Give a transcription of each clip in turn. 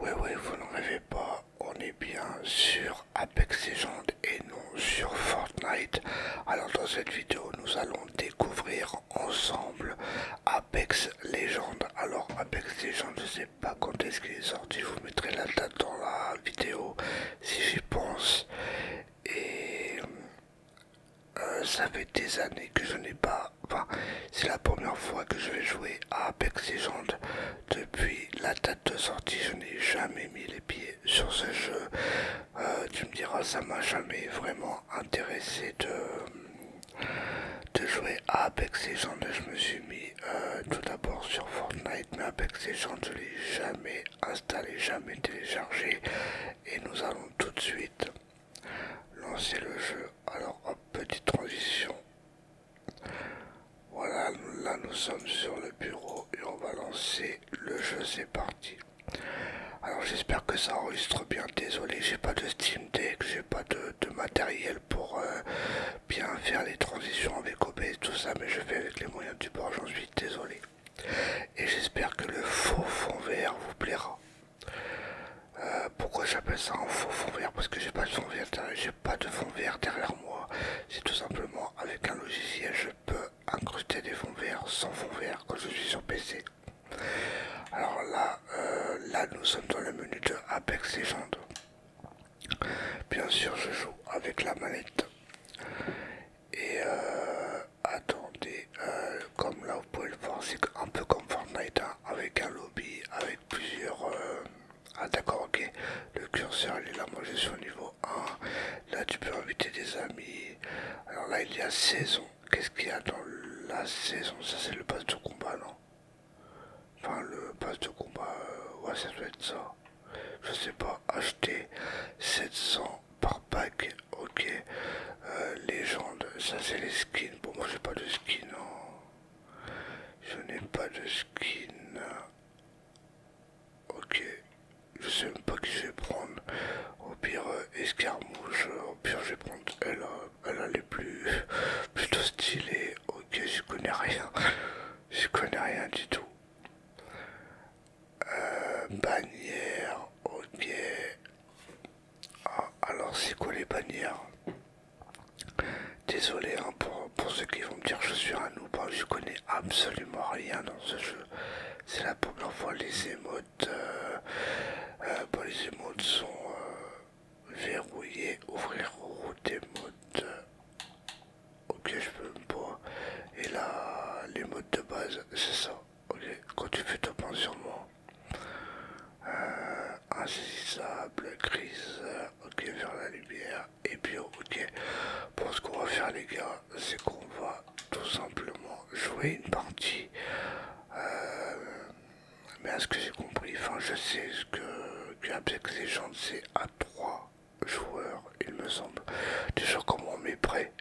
Oui, oui, vous ne rêvez pas, on est bien sur Apex Legends et non sur Fortnite. Alors dans cette vidéo, nous allons découvrir ensemble Apex Legends. Alors Apex Legends, je sais pas quand est-ce qu'il est sorti, je vous mettrai la date dans la vidéo si j'y pense. Et euh, ça fait des années que je n'ai pas, enfin c'est la première fois que je vais jouer à Apex Legends. Depuis la date de sortie, je n'ai jamais mis les pieds sur ce jeu. Euh, tu me diras, ça m'a jamais vraiment intéressé de, de jouer à Apex Legends. Je me suis mis euh, tout d'abord sur Fortnite, mais avec ces gens, je l'ai jamais installé, jamais téléchargé. Et nous allons tout de suite lancer le jeu. Alors hop, petite transition. Voilà, là nous sommes sur le bureau et on va lancer le jeu, c'est parti. Alors j'espère que ça enregistre bien, désolé, j'ai pas de Steam Deck, j'ai pas de, matériel pour euh, bien faire les transitions avec et tout ça, mais je fais avec les moyens du bord, j'en suis désolé. Et j'espère que le faux fond vert vous plaira. Euh, pourquoi j'appelle ça un faux fond vert Parce que j'ai pas de fond vert, j'ai pas de fond vert derrière moi. C'est tout simplement avec un logiciel, je peux incruster des fonds verts sans fond vert quand je suis sur PC. Alors là, euh, là nous sommes dans le menu de Apex Legends. Bien sûr, je joue avec la manette. Et euh, attendez, euh, comme là vous pouvez le voir, c'est un peu comme Fortnite, hein, avec un lobby, avec plusieurs... Euh, ah d'accord, ok, le curseur il est là, moi je suis au niveau 1. Là tu peux inviter des amis. Alors là il y a saison. Qu'est-ce qu'il y a dans la saison Ça c'est le pass de combat, non Enfin, le passe de combat, euh, ouais, ça doit être ça. Je sais pas, acheter 700 par pack, ok. Euh, légende, ça c'est les skins. Bon, moi j'ai pas de skin, non. Hein. Je n'ai pas de skin. Ok, je sais même pas qui je vais prendre. Au pire, euh, escarmouche. Au pire, je vais prendre elle. Hein elle est plus plutôt stylée. Ok, je connais rien. Je connais rien du tout. Euh, bannière, ok. Ah, alors, c'est quoi les bannières Désolé hein, pour, pour ceux qui vont me dire je suis un ou pas, hein. je connais absolument rien dans ce jeu. C'est la première fois les émotes. Euh, euh, bon, bah, les émotes sont. Euh, verrouiller, ouvrir route des mode. Ok, je peux pas Et là, les modes de base, c'est ça. Ok, quand tu fais ton pencher sur moi. Euh, insaisissable, crise, ok, vers la lumière, et puis ok, pour ce qu'on va faire les gars, c'est qu'on va tout simplement jouer une partie euh, mais à ce que j'ai compris, enfin je sais ce que, que ces Legends c'est à 3 joueurs, il me semble. Déjà comment on est prêt.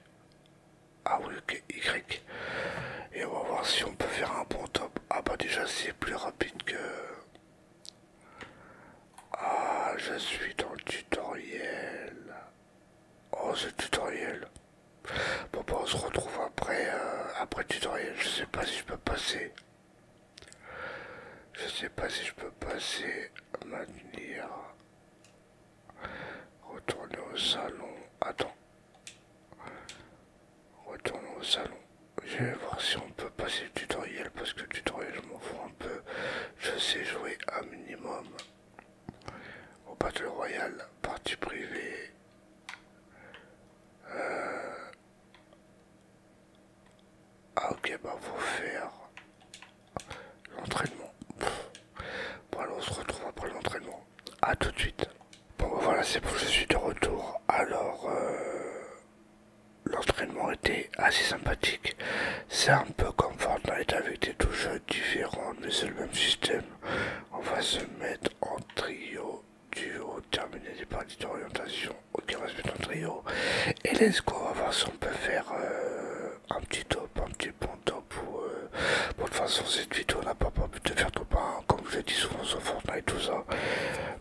Ah oui, ok, Y. Et on va voir si on peut faire un bon top. Ah bah déjà c'est plus rapide que... Ah, je suis dans le tutoriel. Oh, ce tutoriel. Bon, bah, on se retrouve après, euh, après le tutoriel. Je sais pas si je peux passer. Je sais pas si je peux passer à maintenir. Retourner au salon. Attends. Retourner au salon. Je vais voir si on peut passer le tutoriel parce que le tutoriel je m'en fous un peu. Je sais jouer à minimum. Au Battle Royal partie privée. Euh, ah ok, bah faut faire l'entraînement. Bon alors on se retrouve après l'entraînement. à tout de suite. Bon bah, voilà, c'est bon, je suis de retour. Alors, euh, l'entraînement était assez sympathique. C'est un peu comme Fortnite avec des touches différentes, mais c'est le même système. On va se mettre en trio du haut terminé des parties d'orientation reste respect en trio et laisse go va voir si on peut faire euh, un petit top un petit bon top euh, pour de toute façon cette vidéo n'a pas pour but de faire trop bien comme je dis souvent sur Fortnite tout ça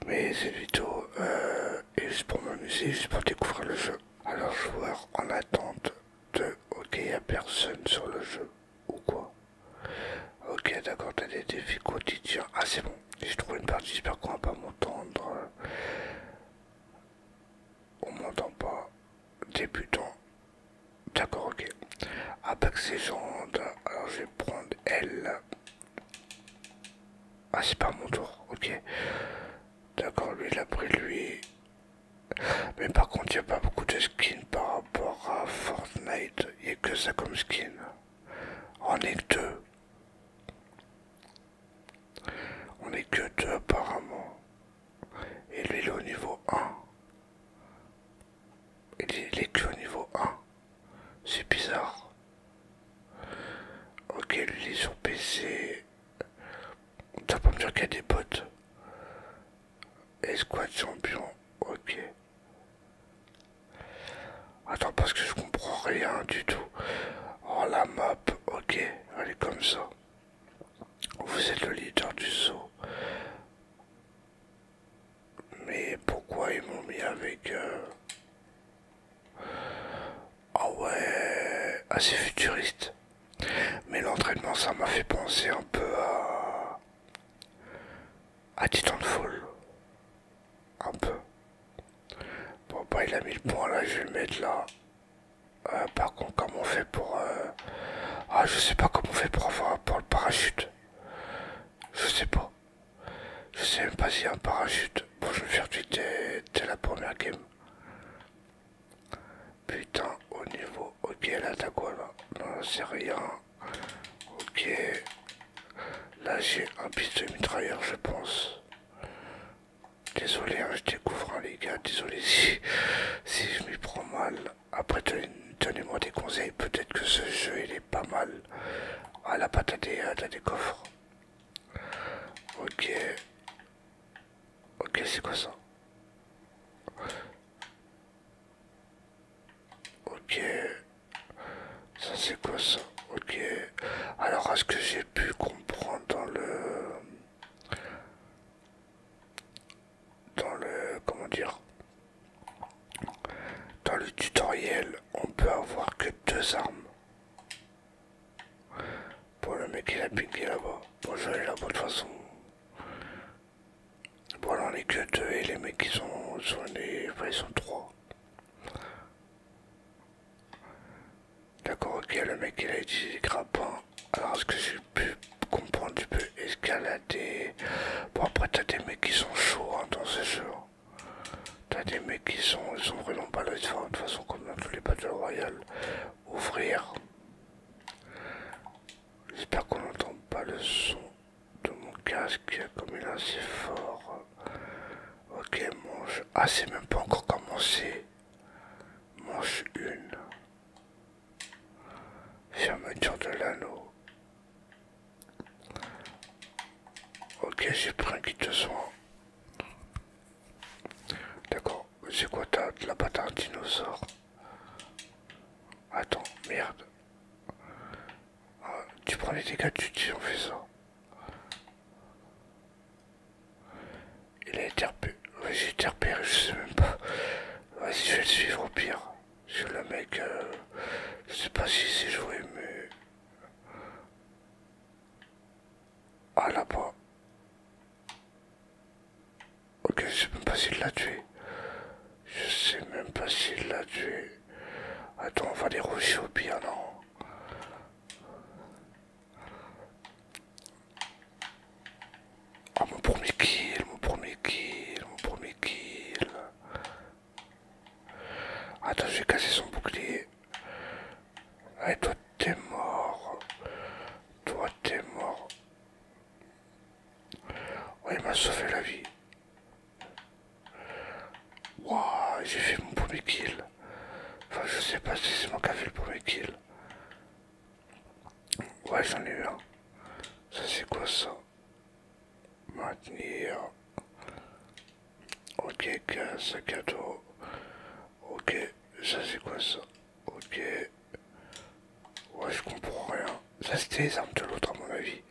mais cette vidéo euh, est juste pour m'amuser juste pour découvrir le jeu alors joueur en attente de ok n'y a personne sur le jeu ou quoi Ok, d'accord, t'as des défis quotidiens. Ah, c'est bon, j'ai trouvé une partie, j'espère qu'on va pas m'entendre. On m'entend pas. Débutant. D'accord, ok. ses légende. Alors, je vais prendre elle Ah, c'est pas mon tour, ok. D'accord, lui, il a pris lui. Mais par contre, il n'y a pas beaucoup de skins par rapport à Fortnite il n'y a que ça comme skin. On est que deux. On est que deux apparemment. Et lui il est au niveau 1. Il est, que au niveau 1. C'est bizarre. Ok, lui il est sur PC. T'as pas me dire qu'il y a des potes. Escouade champion. Ok. Attends, parce que je comprends rien du tout. Oh, la map, ok, elle est comme ça. Vous êtes le leader du saut. Mais pourquoi ils m'ont mis avec... Euh, ah ouais, assez futuriste. Mais l'entraînement, ça m'a fait penser un peu à à ah, foule Un peu. Bon, bah, il a mis le point là, je vais le mettre là. Euh, par contre, comment on fait pour. Euh... Ah, je sais pas comment on fait pour avoir pour le parachute. Je sais pas. Je sais même pas si un parachute. Bon, je vais faire tuer t'es la première game. Putain, au niveau. Ok, là, t'as quoi là Non, c'est rien. Ok. Là j'ai un pistolet mitrailleur je pense. Désolé, hein, je découvre un hein, les gars, désolé si, je m'y prends mal. Après donnez-moi des conseils, peut-être que ce jeu il est pas mal. Ah la patate à à des coffres. Ok. Ok, c'est quoi ça Ok. Ça c'est quoi ça Ok. Alors à ce que j'ai pu comprendre dans le... Dans le... Comment dire Dans le tutoriel, on peut avoir que deux armes. Pour le mec il a piqué là-bas. Bon, je vais là-bas de toute façon. Bon, alors, on est que et les mecs qui sont, Enfin, ils sont trois. D'accord, ok, le mec il a utilisé grappin. Alors, est-ce que j'ai pu comprendre Tu peux escalader. Bon, après, t'as des mecs qui sont chauds hein, dans ce jeu. T'as des mecs qui sont, ils sont vraiment pas là. de toute façon, comme dans tous les battles royales. Ouvrir. J'espère qu'on n'entend pas le son de mon casque, comme il est assez fort. Ok, mange, Ah, c'est même pas encore commencé. Manche une, Fermeture de l'anneau. Ok, j'ai pris un kit de soins, D'accord, c'est quoi ta, la patate dinosaure Attends, merde. Ah, tu prends les dégâts tu dis on fait ça. Il a été repéré. j'ai je sais même pas. Vas-y, je vais le suivre au pire. Parce le mec, euh, je sais pas si s'est joué, mais. Ah là-bas. Ok, je sais même pas s'il l'a tué. Je sais même pas s'il l'a tué. Attends, on va aller rusher au pire, non Ah, mon premier kill, mon premier kill, mon premier kill. Attends, j'ai cassé son bouclier. Allez, eh, toi, t'es mort. Toi, t'es mort il m'a sauvé la vie. Waouh, j'ai fait mon premier kill. Enfin, je sais pas si c'est moi qui ai fait le premier kill. Ouais, j'en ai eu un. Ça, c'est quoi ça Maintenir. Ok, casse à cadeau. Ok, ça c'est quoi ça Ok. Ouais, je comprends rien. Ça, c'était les armes de l'autre, à mon avis.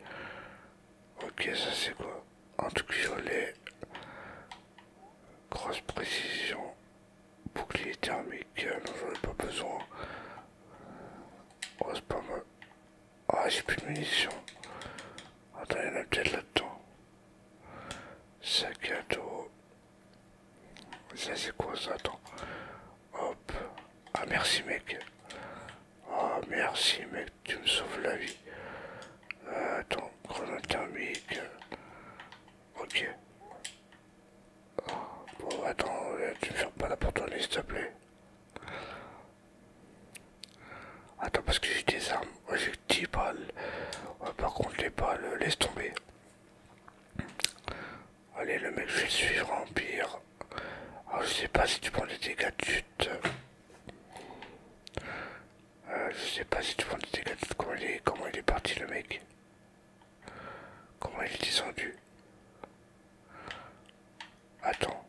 Ok, ça, c'est quoi Un truc violet. Grosse précision. Bouclier thermique. Euh, non, j'en ai pas besoin. Oh, c'est pas mal. Ah, j'ai plus de munitions. Attends, il y en a peut-être là-dedans. Sac à dos. Ça c'est quoi ça Attends. Hop. Ah merci mec. Ah merci mec, tu me sauves la vie. Euh, attends, grenade thermique. Ok. bon attends, euh, tu me fermes pas la porte s'il te plaît. Attends parce que j'ai des armes. j'ai 10 balles. par contre les balles, euh, laisse tomber. Allez, le mec, je vais le suivre en pire. Ah, je sais pas si tu prends des dégâts de chute. Euh, je sais pas si tu prends des dégâts de chute. Comment il est, parti, le mec Comment il est descendu Attends.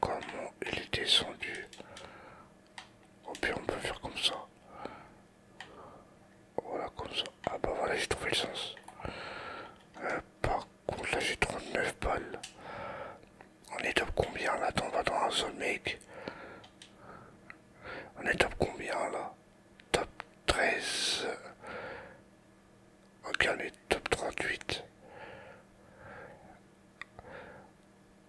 Comment il est descendu Au pire, on peut faire comme ça. Voilà, comme ça. Ah bah voilà, j'ai trouvé le sens. Euh, par contre, là, j'ai 39 balles. On est top combien là On va dans un zone, mec. On est top combien là Top 13. Ok, on est top 38.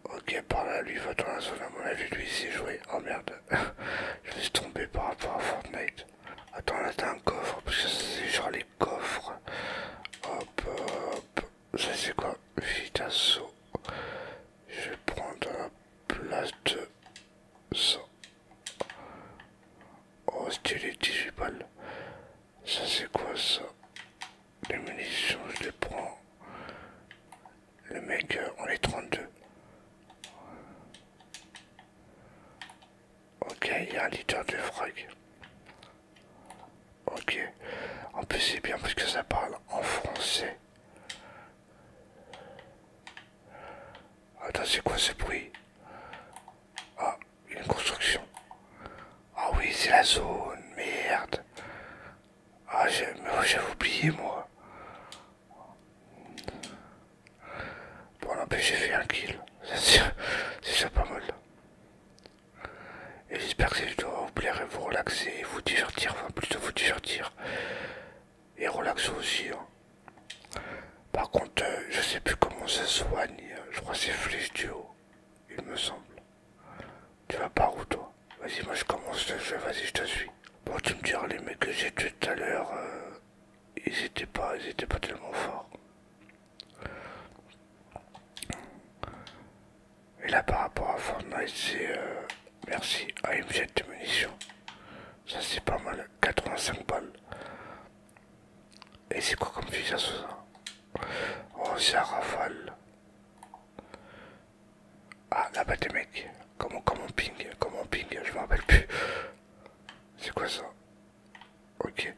Ok, par là, lui va dans la zone, à mon avis, lui, c'est joué. Oh merde, je vais se trompé par rapport à Fortnite. Attends, là, t'as un coffre, parce que c'est genre les coffres. Hop, hop, ça c'est quoi Vitasso. Je vais prendre la place de ça. Oh, stylé, 18 balles. Ça c'est quoi ça Les munitions, je les prends le mec, euh, on est 32. Ok, il y a un leader de frag. Ok. En plus, c'est bien parce que ça parle en français. Attends, c'est quoi ce bruit Ah, une construction. Ah oui, c'est la zone, merde. Ah, oh, j'avais oublié, moi. Bon, n'empêche, j'ai fait un kill. C'est déjà pas mal. Et j'espère que cette vidéo va vous plaire et vous relaxer et vous divertir. Enfin, plutôt vous divertir. Et relaxer aussi. Hein. Par contre, euh, je sais plus comment ça soigne. Je crois que c'est flèche du haut, il me semble. Tu vas par où toi Vas-y, moi je commence le jeu, vas-y, je te suis. Bon, tu me diras, les mecs que j'ai tout à l'heure, euh, ils étaient pas, ils étaient pas tellement forts. Et là, par rapport à Fortnite, c'est... Euh, merci, à une munitions. Ça, c'est pas mal, 85 balles. Et c'est quoi comme fusil à ça Oh, c'est un rafale. Ah, là-bas des mecs. Comment, comment ping Comment ping Je me rappelle plus. C'est quoi ça Ok.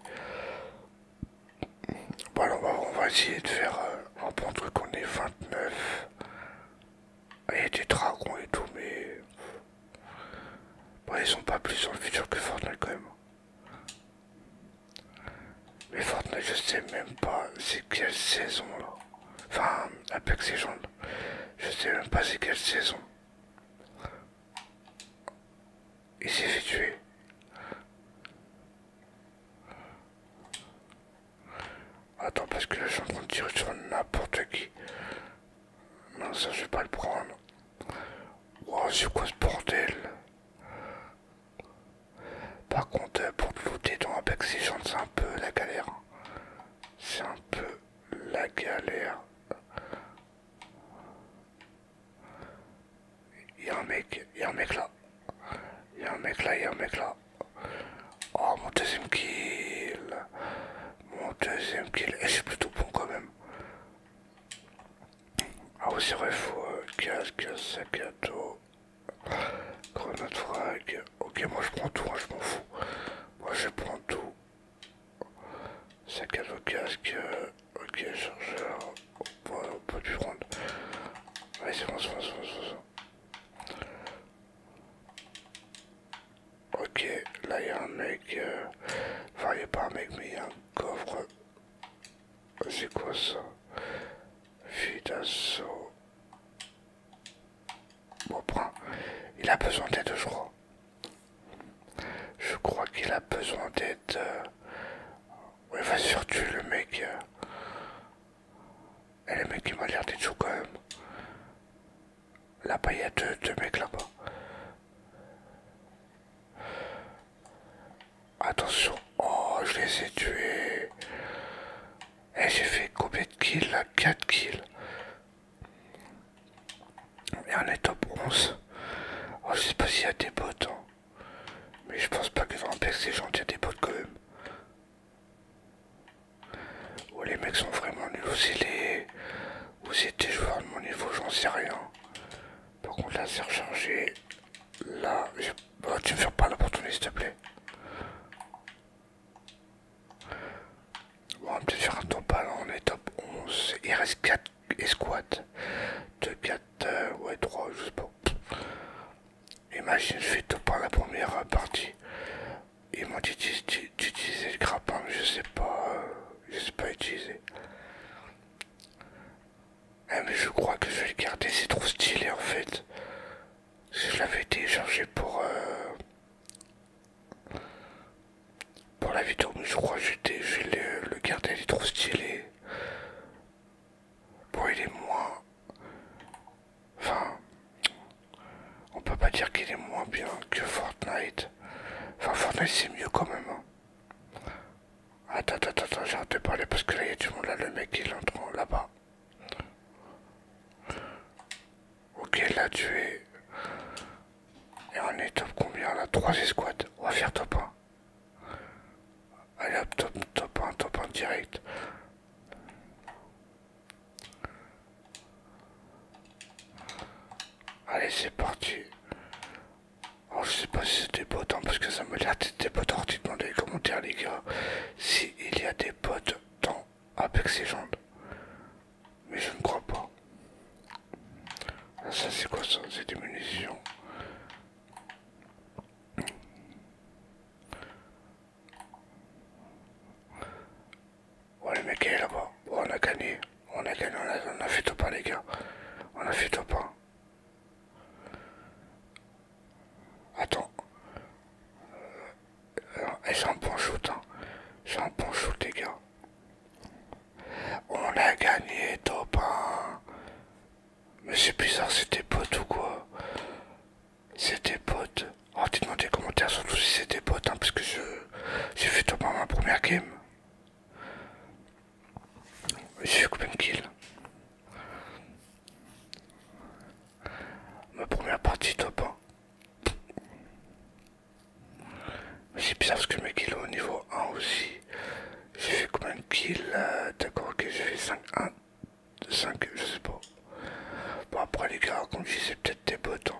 Bon, alors, on va, essayer de faire euh, un bon truc. On est 29. Ah, il y a des dragons et tout, mais. Bon, ils sont pas plus sur le futur que Fortnite quand même. Mais Fortnite, je sais même pas c'est quelle saison là. Enfin, Apex Legends, je sais même pas c'est quelle saison. Il s'est fait tuer. Attends, parce que les gens vont tirer sur n'importe qui. Non, ça je vais pas le prendre. Oh, c'est quoi ce bordel par contre, euh, pour te looter dans Apex Legends, c'est un peu la galère. Hein. C'est un peu la galère. Il y a un mec, il y a un mec là. Il y a un mec là, il y a un mec là. Oh, mon deuxième kill. Mon deuxième kill. Et eh, c'est plutôt bon quand même. Ah oui, c'est vrai, faut euh, sac à dos. Grenade frag. Ok, moi je prends tout, moi hein, je m'en fous. Moi je prends tout. Sac à dos casque. Euh, ok, chargeur. On peut, du prendre. Allez, c'est bon, c'est bon, c'est bon, c'est bon. Ok, là il y a un mec, euh, enfin il n'y a pas un mec mais il y a un coffre. Euh, c'est quoi ça Fidasso, Bon, prend. Il a besoin d'aide, je crois. Je crois qu'il a besoin d'aide. Oui, va surtout le mec. Et eh, le mec, qui m'a l'air d'être quand même. Là-bas, il y a deux mecs là-bas. Attention. Oh, je les ai tués. Et eh, j'ai fait combien de kills là 4 kills. Et on est top 11. je sais pas s'il y a des bots. Hein. Mais je pense pas que dans Apex c'est gentil, il y a des bots quand même. Ou oh, les mecs sont vraiment nuls. Ou c'est les... des joueurs de mon niveau, j'en sais rien. Par contre là c'est rechargé. Là, j'ai Bon, bah, tu me fais pas l'opportunité, s'il te plaît. Bon, on va peut-être faire un top là, on est top 11. Il reste 4 escouades. 2, 4, euh, ouais, 3, je sais pas. Imagine, je fais top par la première partie. Ils m'ont dit d'utiliser le grappin, mais je sais pas. Euh, je sais pas utiliser. Ah, mais je crois que je vais le garder, c'est trop stylé en fait. je l'avais téléchargé pour... Euh, pour la vidéo, mais je crois que je vais euh, le, garder, il est trop stylé. Bon, il est moins... Enfin... On peut pas dire qu'il est moins bien que Fortnite. Enfin, Fortnite c'est mieux quand même. Hein. Attends, attends, attends, j'arrête de parler parce que là, il y a du monde là, le mec il entre là-bas. Ok, il l'a tué. Et on est top combien là 3 escouades. On va faire top 1. Allez hop, top, top 1, top 1 direct. Allez, c'est parti. Alors, oh, je sais pas si c'est des potes, hein, parce que ça me l'air des potes. Alors, dites les commentaires, les gars, s'il il y a des potes dans Apex jambes, Mais je ne crois pas. Ah, ça, c'est quoi ça C'est des munitions. Oh, le mec est là-bas. on a gagné. On a gagné, on a, on a fait top 1, les gars. On a fait top 1. Attends. J'ai c'est un bon shoot, hein. un bon shoot, les gars. On a gagné, top Mais c'est bizarre, c'était potes ou quoi C'était potes. Oh, dites-moi des commentaires, surtout si c'était pot, hein, parce que je... J'ai fait top ma première game j'ai fait combien de kills Ma première partie top 1. Hein. C'est bizarre parce que mes kills au niveau 1 aussi. J'ai fait combien de kills D'accord, ok, j'ai fait 5, 1, 5, je sais pas. Bon, après, les gars, comme je c'est peut-être des bots. Hein.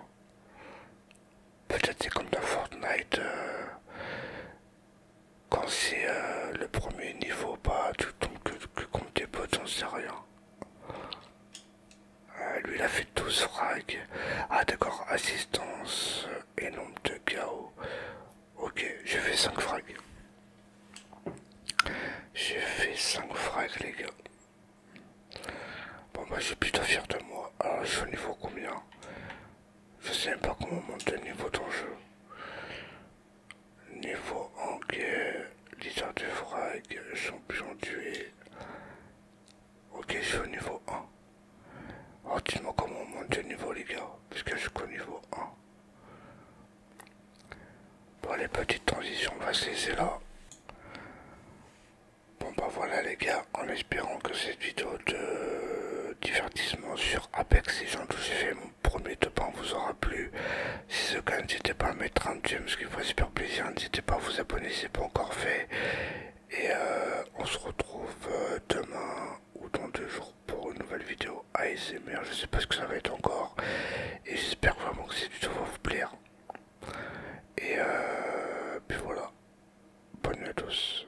Peut-être c'est comme dans Fortnite. Euh, quand c'est euh, le premier niveau, bah tu tombes que, compte contre des potes, j'en sait rien. Euh, lui il a fait 12 frags. Ah d'accord, assistance euh, et nombre de chaos. Ok, j'ai fait 5 frags. J'ai fait 5 frags les gars. Bon bah je suis plutôt fier de moi. Alors je suis au niveau combien je sais pas comment monter le niveau ton jeu. Niveau ok. lisa du frag, champion duel. Ok, je suis au niveau 1. Alors dites-moi comment monter monte niveau les gars, puisque je suis qu'au niveau 1. Bon les petites transitions, on va se là. Bon bah voilà les gars, en espérant que cette vidéo de divertissement sur gens, tout gens que j'ai fait mon premier top vous aura plu. Si ce cas, n'hésitez pas à mettre un j'aime, ce qui vous super plaisir. N'hésitez pas à vous abonner si ce n'est pas encore fait. Et euh, on se retrouve euh, demain ou dans deux jours pour une nouvelle vidéo ASMR. Je sais pas ce que ça va être encore. Et j'espère vraiment que du tout va vous plaire. Et euh, puis voilà. Bonne nuit à tous.